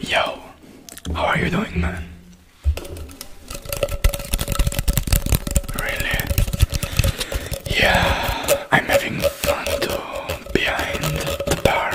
Yo, how are you doing, man? Really? Yeah, I'm having fun too behind the bar.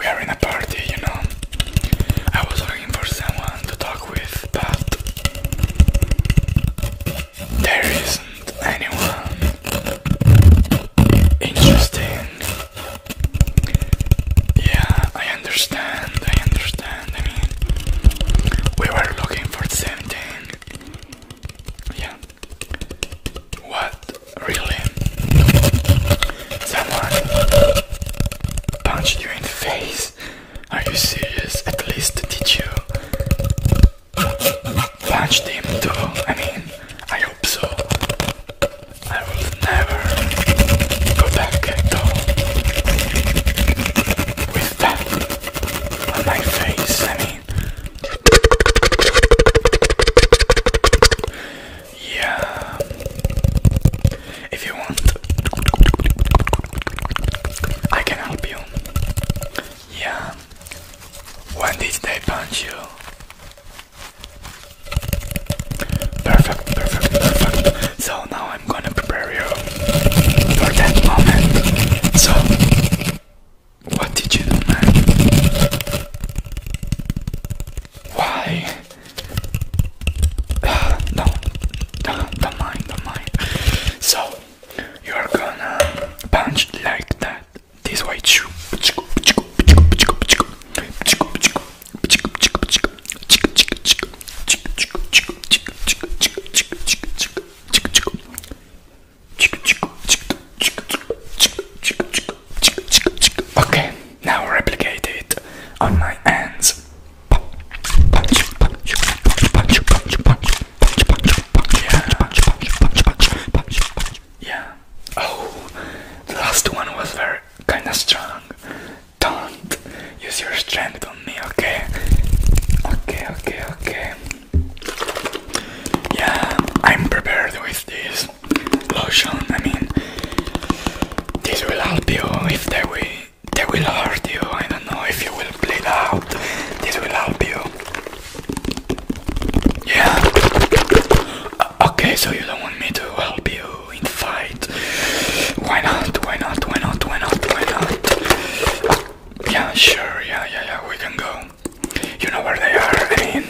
we are in a party, you know. I was looking for someone to talk with, but there isn't anyone interesting. Yeah, I understand, I understand. I mean, we were looking for the Yeah. What? Really? Someone punched you in the face? Are you serious? At least did you punch him too. I mean, I hope so. I will never go back though with that on my face. I mean, yeah. If you want, I can help you. Yeah. When did they punch you? Perfect, perfect, perfect. So now I'm gonna prepare you for that moment. So, what did you do, man? Why? no, don't, don't mind, don't mind. So, you're gonna punch like that. This white shoe. Okay, now replicate it on my hands. Yeah. yeah. Oh, the last one was very kinda strong. Don't use your strength on me, okay? Okay, okay, okay. Yeah, I'm prepared with this lotion. I mean, this will help you if there we they will hurt you. I don't know if you will bleed out. This will help you. Yeah. Uh, okay, so you don't want me to help you in fight. Why not? Why not? Why not? Why not? Why not? Uh, yeah, sure. Yeah, yeah, yeah. We can go. You know where they are. I mean,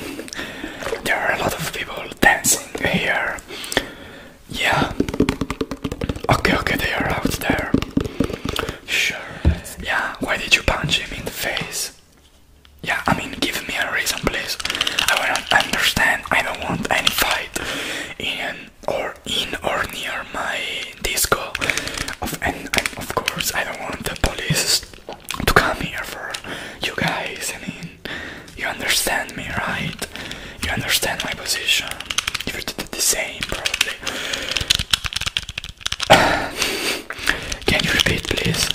there are a lot of people dancing here. Yeah. Okay, okay, they are out there. Sure. Yeah, why did you punch him in the face? Yeah, I mean, give me a reason, please. I will not understand. I don't want any fight in or in or near my disco. Of, and of course, I don't want the police to come here for you guys. I mean, you understand me, right? You understand my position. You did the same, probably. Can you repeat, please?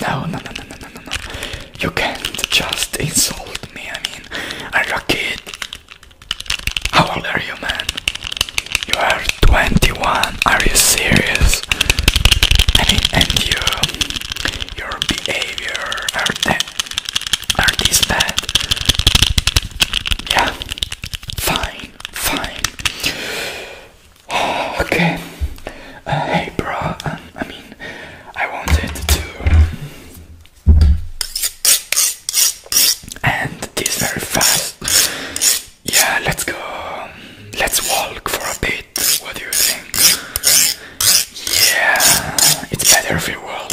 no, no, no, no, no, no, no. You can't just insult me. I mean, I'm a kid. How old are you, man? You are 21. Are you serious? I mean, and you, your behavior are aren't these bad? Yeah, fine, fine. okay, uh, hey, bro. Um, I mean, I wanted to end this very fast. Yeah, let's go. Um, let's walk for a bit. What do you think? Yeah, it's better if we walk.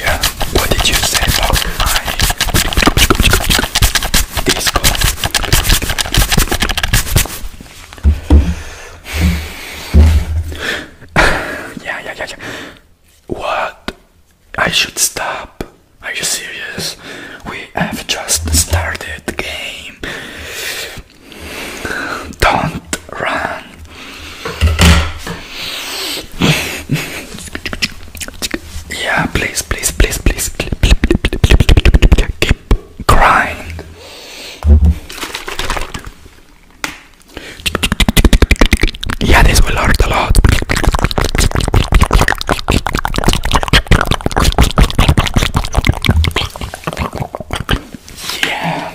Yeah, what did you say about my disco? yeah, yeah, yeah, yeah. What? I should stop. Are you serious? We have just started the game. Don't run. Yeah, please, please, please, please, keep crying. Yeah, this will hurt a lot. Yeah.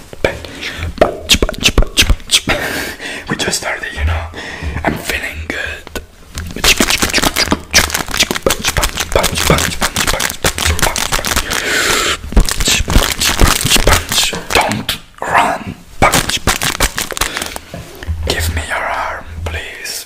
we just started, you know. I'm feeling good. Punch, punch, punch, punch, punch, punch, punch, punch, punch. Don't run. Punch, punch, punch. Give me your arm, please.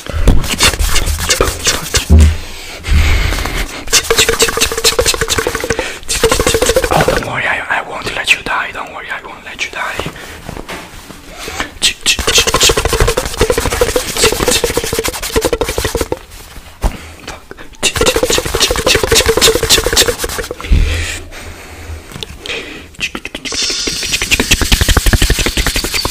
Oh, don't worry, I won't let you die. Don't worry, I won't let you die.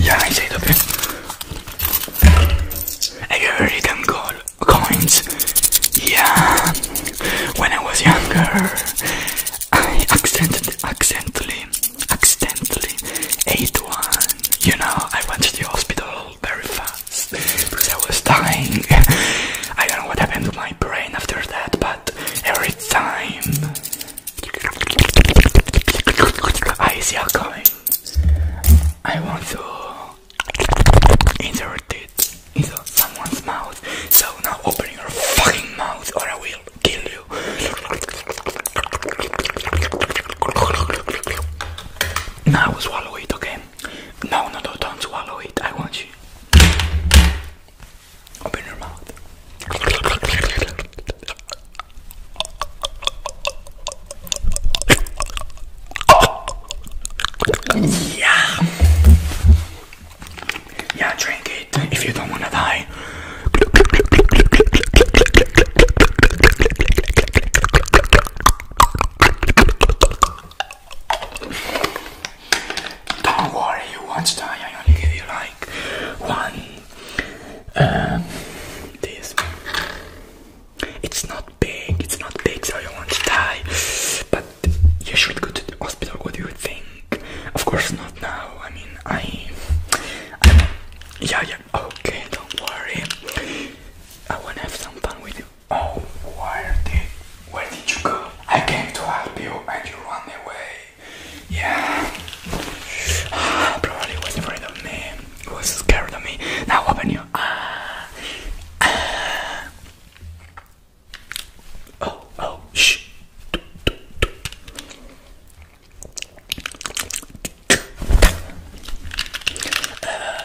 Yeah, I say the I heard it and call coins. Yeah, when I was younger, I accidentally, accidentally, accidentally ate one. You know, I went to the hospital very fast because I was dying. I don't know what happened to my brain after that, but every time I see you coming. I want to insert it into someone's mouth. So now open your fucking mouth or I will kill you. Now swallow it, okay? No, no, no, don't swallow it. I want you. Open your mouth. Yeah. Yeah, drink it if you don't want to die. Don't worry, you won't die. I only give you like one. Um, this. It's not big. It's not big, so you won't die. But you should go to the hospital. What do you think? Of course not now. I mean, I. I yeah, yeah. Okay, don't worry. I wanna have some fun with you. Oh, where did where did you go? I came to help you and you run away. Yeah. Probably was afraid of me. Was scared of me. Now open your ah. Oh, oh, shh. Uh,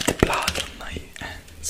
the blood on my hands.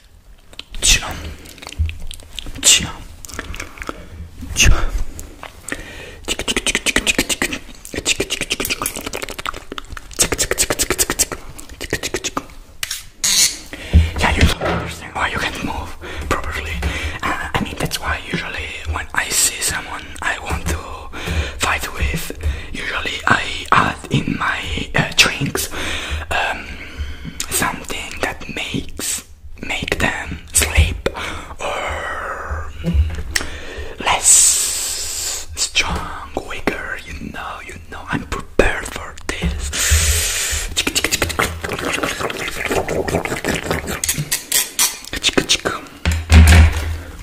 Chum. Chum. Chum. Yeah, you don't understand why you can't move properly. Uh, I mean, that's why usually when I see someone I want to fight with, usually I add in my uh, drinks um, something that makes make them sleep or less strong, weaker. You know, you know. I'm prepared for this.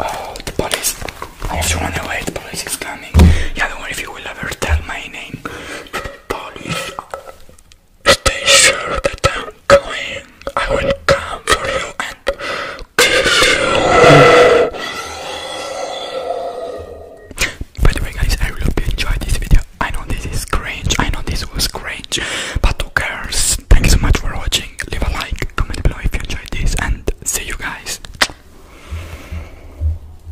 Oh, the police! I have to run away. The police is coming. I don't know if you will ever tell my name police. Stay sure that I'm going. I will come for you and kill you. By the way, guys, I really hope you enjoyed this video. I know this is cringe. I know this was cringe, but who cares? Thank you so much for watching. Leave a like, comment below if you enjoyed this, and see you guys.